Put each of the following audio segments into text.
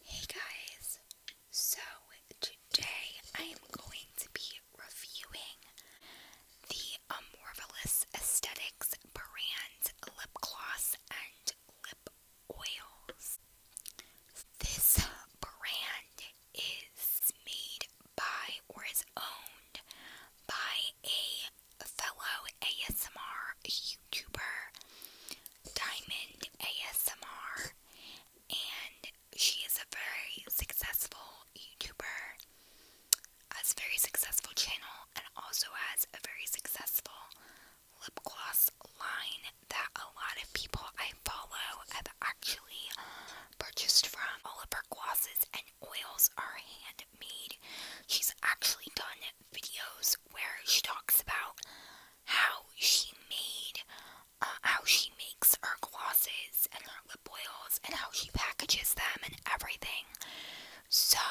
Hey guys, so today I am going to be reviewing the um, Amorphous Aesthetics brand lip gloss and lip oils. This brand is made by or is owned by a fellow ASMR YouTuber Diamond ASMR, and she is a very successful YouTuber, has a very successful channel, and also has a very successful lip gloss line that a lot of people I follow have actually purchased from. All of her glosses and oils are handmade. She's actually done videos where she talks about how she made, uh, how she makes her glosses and her lip oils and how she packages them and everything. So,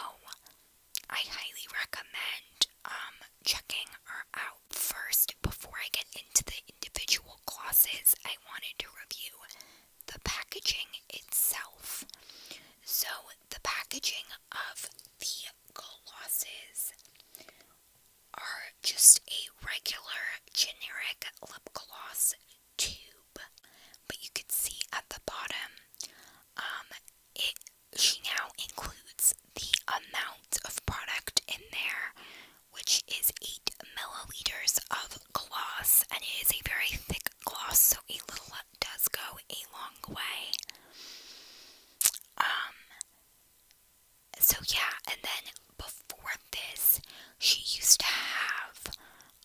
I highly recommend um, checking her out first before I get into the individual glosses. I wanted to review the packaging itself. So, the packaging of the glosses are just a regular generic lip gloss tube, but you can see at the bottom, um, it now includes the amount of product in there, which is eight milliliters of gloss, and it is a very thick gloss, so a little does go a long way. Um, so yeah, and then before this, she used to have,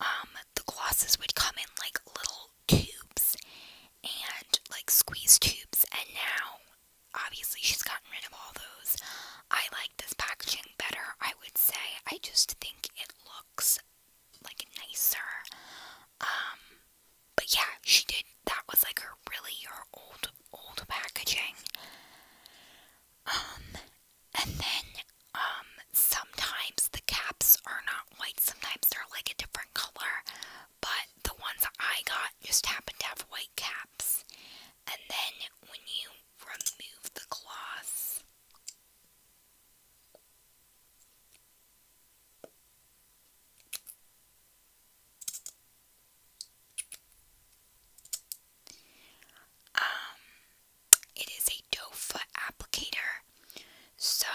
um, the glosses would come in like little tubes and like squeeze tubes, and now obviously she's gotten rid of all those. I like this packaging better, I would say. I just think it looks like nicer. Um, but yeah, she did. That was like her really her old old packaging. Um, and then um, sometimes the caps are not white. Sometimes they're like a different color. But the ones I got just happen to have white caps. And then when you remove the gloss, um, it is a doe foot applicator, so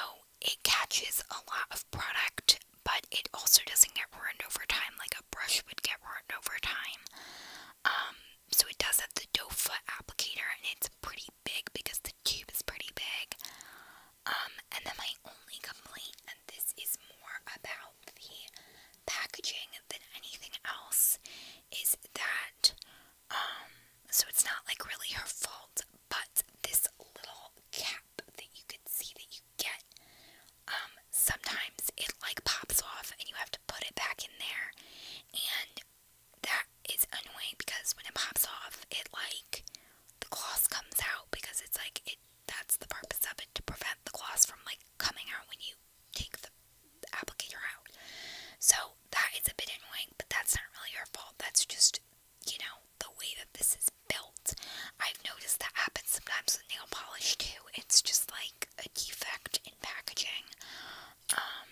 it catches a lot of product, but it also doesn't get ruined over time like a brush would get ruined over time. Um, so it does have the doe foot applicator, and it's pretty big because the tube is pretty big. Um, and then my only complaint, and this is more about the packaging than anything else, is that um, so it's not like really her fault, but this little cap that you can see that you get, um, sometimes it like pops off and you have to put it back in there, and that is annoying because when it pops off, it like the gloss comes out because it's like it that's the purpose of it to prevent the gloss from like coming out when you take the applicator out. So that is a bit annoying, but that's not really your fault. That's just, you know, the way that this is built. I've noticed that happens sometimes with nail polish too. It's just like a defect in packaging. Um,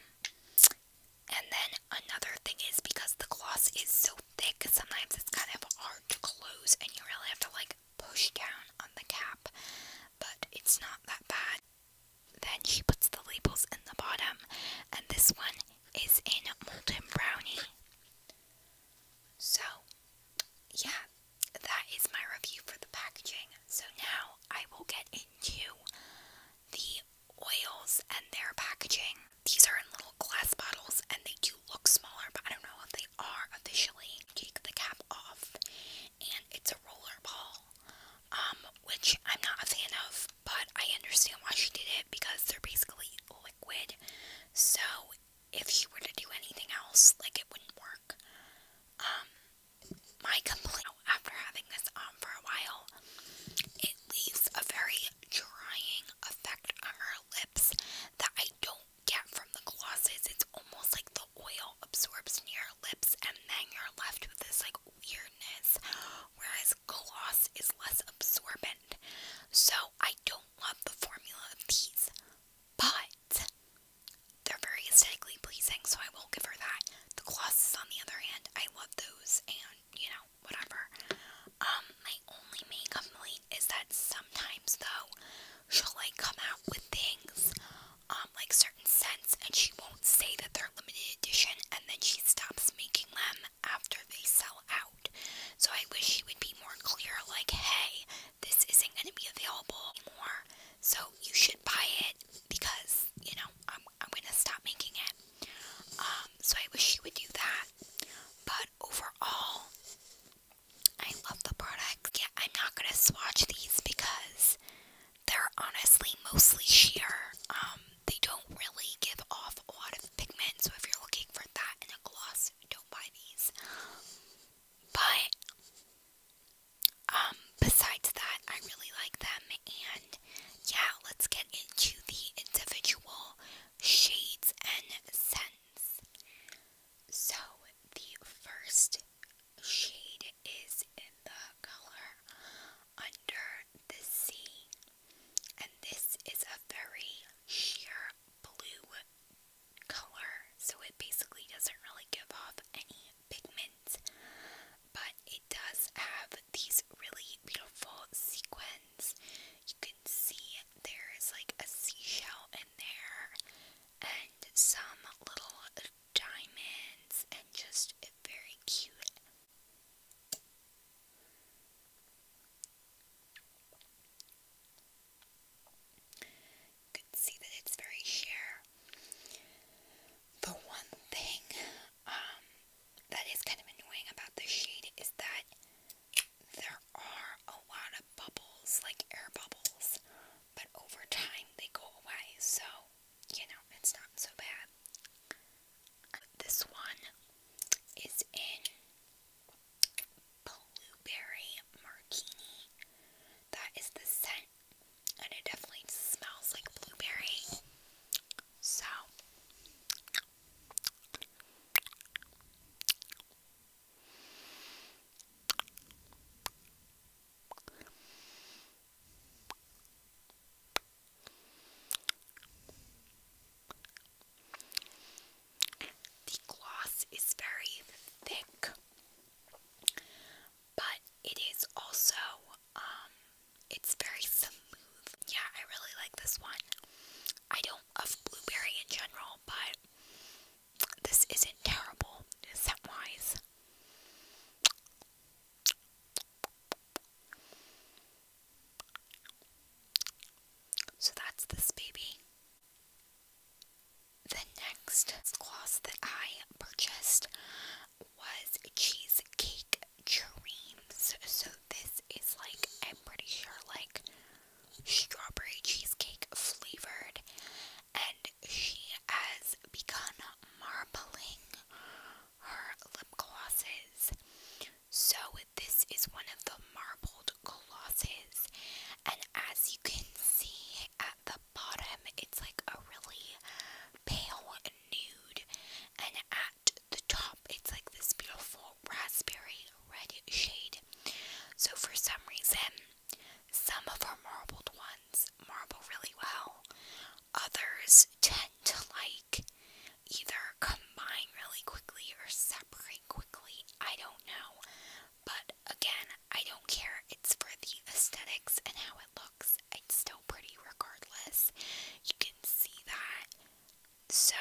and then another thing is because the gloss is so thick because sometimes it's kind of hard to close and you really have to like push down on the cap, but it's not that bad. Then she puts the labels in the bottom, and this one is in Molten Brownie. So, yeah, that is my review for the packaging. So now I will get into the oils and their packaging. These are in little glass bottles and they do look smaller, but I don't know if they are officially. Take the cap off, and it's a roller ball, um, which I'm not a fan of, but I understand why she did it because they're basically liquid. So if you were to do anything else, like it wouldn't work. Um, my complaint after having this on for a while leaves a very drying effect on her lips that I don't get from the glosses. It's almost like the oil absorbs near lips and then you're left with this like weirdness, whereas gloss is less absorbent. So I don't love the formula of these, but they're very aesthetically pleasing, so I will give her that. The glosses, on the other hand, I love those, and you know, know, whatever. Um, my only main complaint is that sometimes though she'll like come out with things, um, like certain scents and she won't say that they're limited edition and then she stops making them after they sell out. So I wish she would be more clear, like, hey, this isn't gonna be available anymore. So you should buy it because, you know, I'm I'm gonna stop making it. Um, so I wish you would do that. But overall, I love the product. Yeah, I'm not gonna swatch these because they're honestly mostly sheer. Um, they don't really give off a lot of pigment, so if you're looking for that in a gloss, don't buy these. But um, besides that, I really like them, and yeah, let's get into the individual shades and scents. So, the first shade is in the color Under the Sea. And this is a very sheer blue color, so it basically doesn't really give off any pigment, but it does have these really beautiful sequins you can see there's like a seashell in there and some little diamonds and just very cute. You can see that it's very sheer. The one thing um, that is kind of annoying about the shade is that there are a lot of bubbles, like air bubbles, but over time they go away, so you know, it's not so bad. This one is in Blueberry Martini. That is the scent, and it definitely smells like blueberry. So, the gloss is very thick, but it is also um, it's very smooth. Yeah, I really like this one. I don't love blueberry in general, but this isn't terrible Set wise. So that's this baby. The next gloss that I purchased was Cheesecake Dreams. So this is like, I'm pretty sure, like strawberry cheesecake flavored. And she has begun marbling her lip glosses. So, this is one of the marbled glosses. And as you can see at the bottom, it's like a really pale nude. And at the top, it's like this beautiful raspberry red shade. So, for some reason, some of our marbled ones marble really well, others tend to like either combine really quickly or separate quickly. I don't know, but again, I don't care. It's for the aesthetics and how it looks. It's still pretty regardless. You can see that so,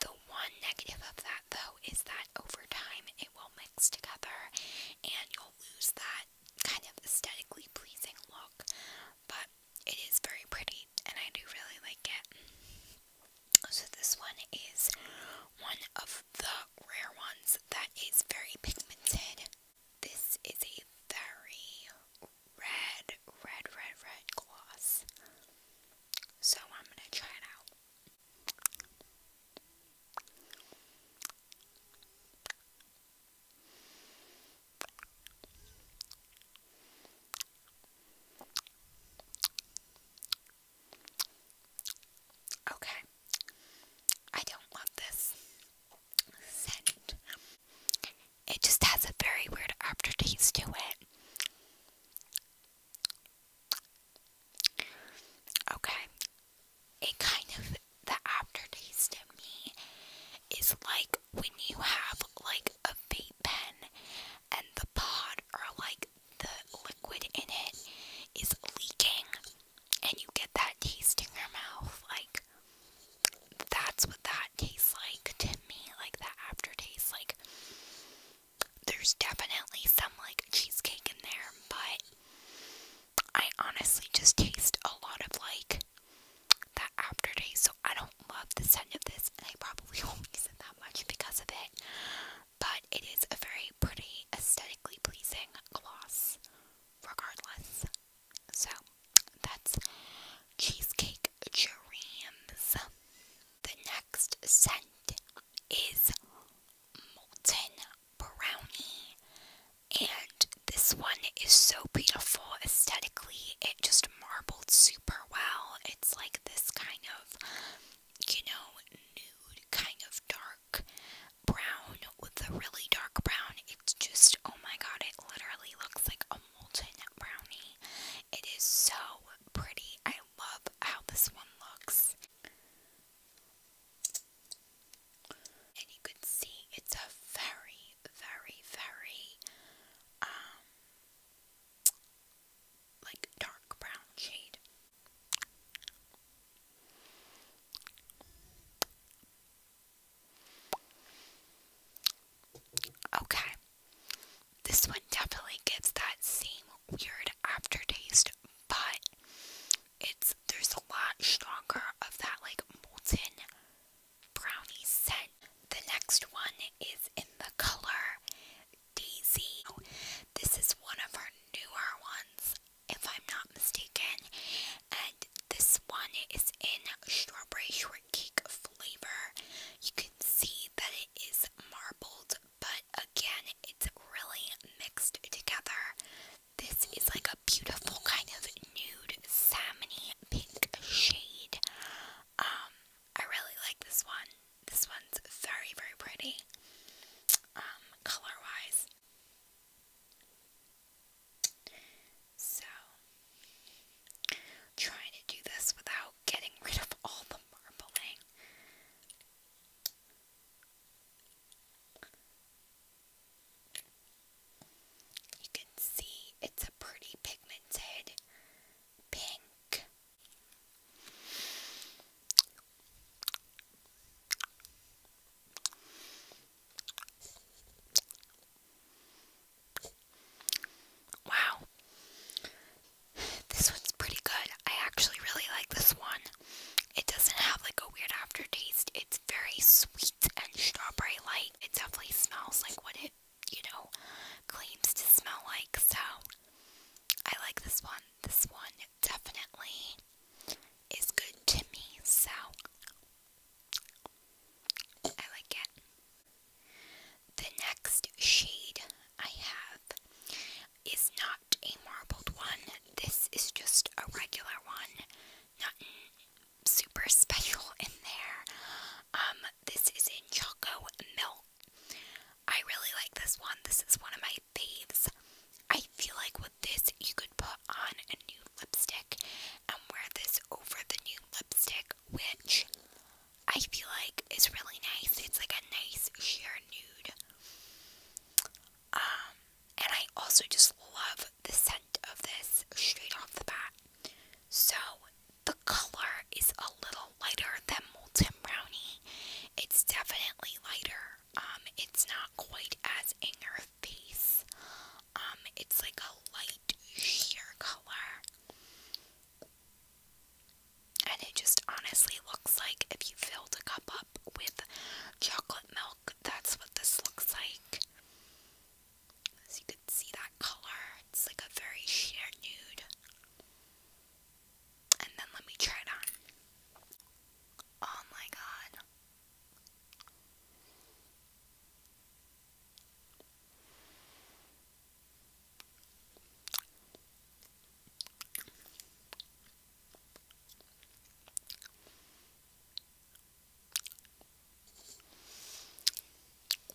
the one negative of that though is that over time it will mix together and you'll lose that kind of aesthetically pleasing look. But it is very pretty and I do really like it. So, this one is one of the rare ones that is very pigmented. This is a very red, red, red, red gloss. So I'm gonna try it out. Okay, I don't want this scent. It just has a very weird aftertaste to it. Okay. It kind of, the aftertaste to me is like when you have like a vape pen and the pod or like the liquid in it is leaking and you get that taste your mouth. Like, that's what that tastes like to me, like the aftertaste. Like, there's definitely some like cheesecake in there, but I honestly just taste a lot of like that aftertaste. So I don't love the scent of this, and I probably won't use it that much because of it. But it is a very pretty, aesthetically pleasing gloss, regardless. So that's Cheesecake Dreams. The next scent is Molten Brownie. And this one is so beautiful aesthetically. It just marbled super well. It's like this kind of, you know, nude, kind of dark brown with a really dark brown. It's just, oh my god, it literally looks like a molten brownie. It is so pretty. I love how this one looks. And you can see it's a very, very, very, um, like dark brown shade. Okay, this one definitely gives that same weird aftertaste, but it's there's a lot stronger of that like molten brownie scent. The next one is in the color Daisy. This is one of our newer ones, if I'm not mistaken, and this one is in strawberry shortcake cake flavor. You can see that it is marbled, but again, it's really mixed together. This is like a beautiful kind of nude salmony pink shade. Um, I really like this one. This one's very, very pretty. Um, color wise. So, trying to do this without getting rid of all the marbling. You can see it's a pretty pigmented pink. Wow. This one's pretty good. I actually really like this one. It doesn't have like a weird aftertaste. It's very sweet and strawberry light. It definitely smells like what it, you know, claims to smell like. So I like this one. This one definitely is good to me. So I The next shade I have is not a marbled one. This is just a regular one. Nothing super special in there. Um, this is in Choco Milk. I really like this one. This is one of my faves. I feel like with this you could put on a new lipstick and wear this over the new lipstick, which I feel like is really nice. It's like a nice sheer nude. Um, and I also just love the scent of this straight off the bat. So the color is a little lighter than Molten Brownie. It's definitely lighter. Um, it's not quite as in your face. Um, it's like a light sheer color. And it just honestly looks like if you filled a cup up with chocolate milk, that's what this looks like. As you can see that color, it's like a very sheer nude. And then let me try it on. Oh my god.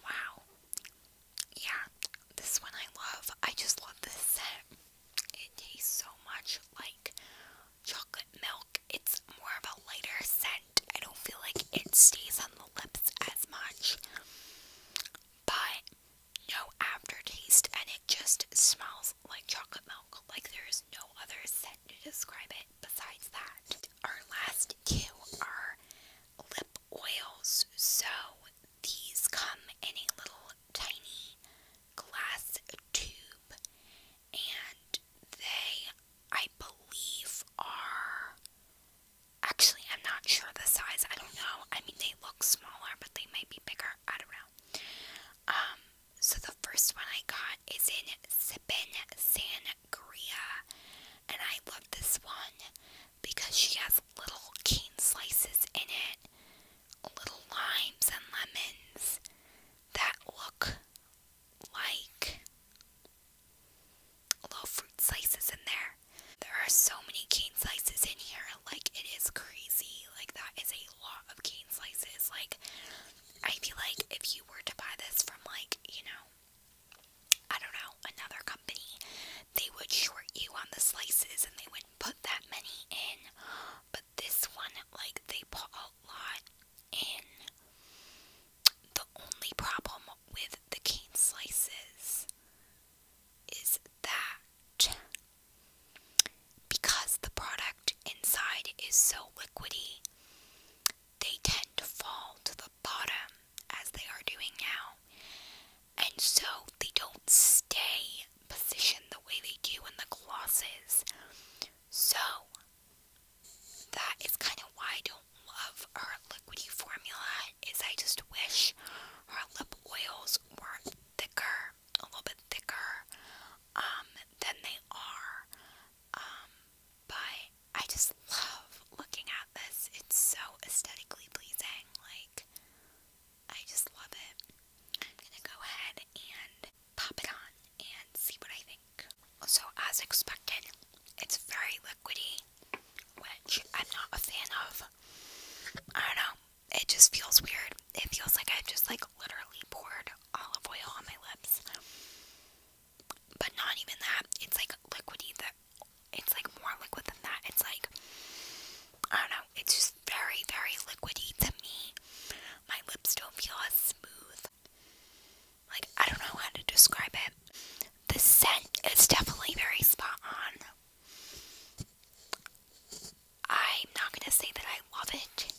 Wow. Yeah, this one I love. I just love this scent. It tastes so much like chocolate milk. It's more of a lighter scent I don't feel like it stays on the lips as much. But no aftertaste, and it just smells like chocolate milk. Like there is no other scent to describe it besides that. Our last two are lip oils. So these come in a little tiny glass tube, and they I believe are actually I'm not sure the size. I don't know. I mean they look smaller, but they might be bigger. I don't know. Um, so the first one I got is in Sippin Sangria, and I love this one because she has little cane slices in it, little limes and lemons that look like little fruit slices in there. There are so many cane slices in here, like it is crazy. Like that is a lot of cane slices. Like I feel like if you were to buy this from like, you know, I don't know, another company, they would short you on the slices and they wouldn't put that many in. But this one, like they put a lot in. The only problem with the cane slices is that because the product inside is so liquidy, they tend to fall to the bottom as they are doing now, and so they don't stay positioned the way they do in the glasses. So that is kind of why I don't love her liquidy formula. Is I just wish her lip oils were thicker, a little bit thicker um, than they are. Um, but I just love looking at this. It's so aesthetically pleasing. Like I just love it. I'm gonna go ahead and pop it on and see what I think. So, as expected, it's very liquidy, which I'm not a fan of. I don't know. It just feels weird. It feels like I've just like literally poured olive oil on my lips. But not even that. It's like liquidy that it's like more liquid than that. It's like I don't know, it's just very, very liquidy to me. My lips don't feel as smooth like I don't know how to describe it. The scent is definitely very spot on. I'm not gonna say that I love it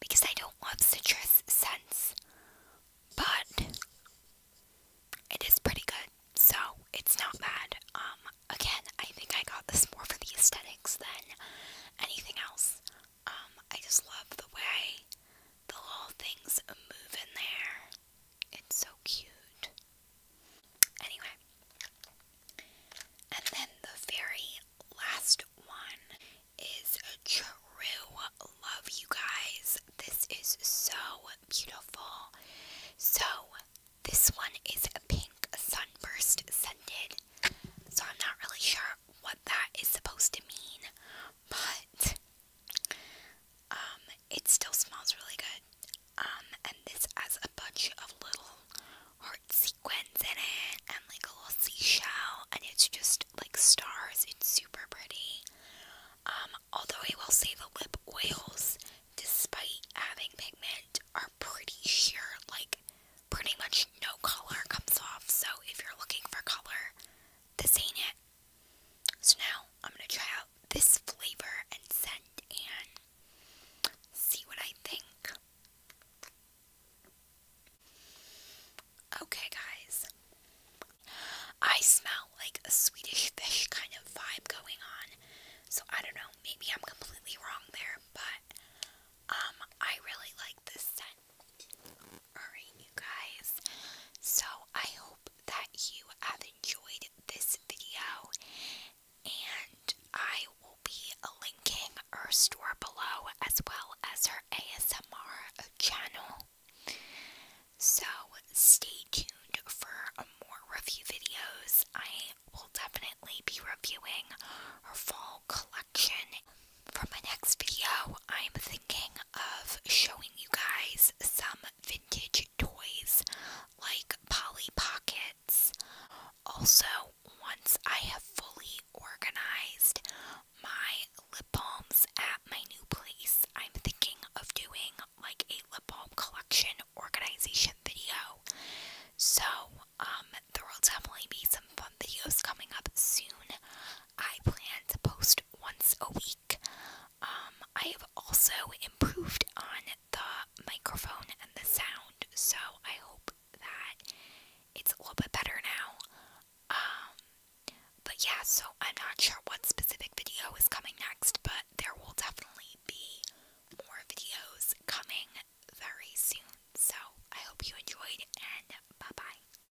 because I don't love citrus scents, but it is pretty good, so it's not bad. Um, again, I think I got this more for the aesthetics than anything else. Um, I just love the way the little things move in there. It's so cute. Anyway. And then the very last one is True Love, you guys. This is so beautiful. So, this one is a pink sunburst scented. So, I'm not really sure what that is supposed to mean, but um, it still smells really good. Um, and this has a bunch of little heart sequins in it and like a little seashell and it's just like stars. It's super pretty. Um, although I will say the lip oils, despite having pigment, are pretty sheer, like pretty much no color comes off. So if you're looking for color, this ain't it. So now I'm going to try out this flavor and scent and see what I think. Okay, guys. I smell like a Swedish fish kind of vibe going on. So I don't know, maybe I'm completely wrong there, but um I really like this scent. Alright, you guys. So I hope that you have enjoyed this video, and I will be linking her store below as well as her ASMR channel. So stay tuned for more review videos. I will definitely be reviewing her fall collection for my next video, I'm thinking of showing you guys some vintage toys like Polly Pockets. Also, once I have fully organized my lip balms at my new place, I'm thinking of doing like a lip balm collection organization video. So, um, there will definitely be some fun videos coming up soon. I plan to post once a week. Um, I have also improved on the microphone and the sound, so I hope that it's a little bit better now. Um, but yeah, so I'm not sure what specific video is coming next, but there will definitely be more videos coming very soon. So I hope you enjoyed, and bye bye.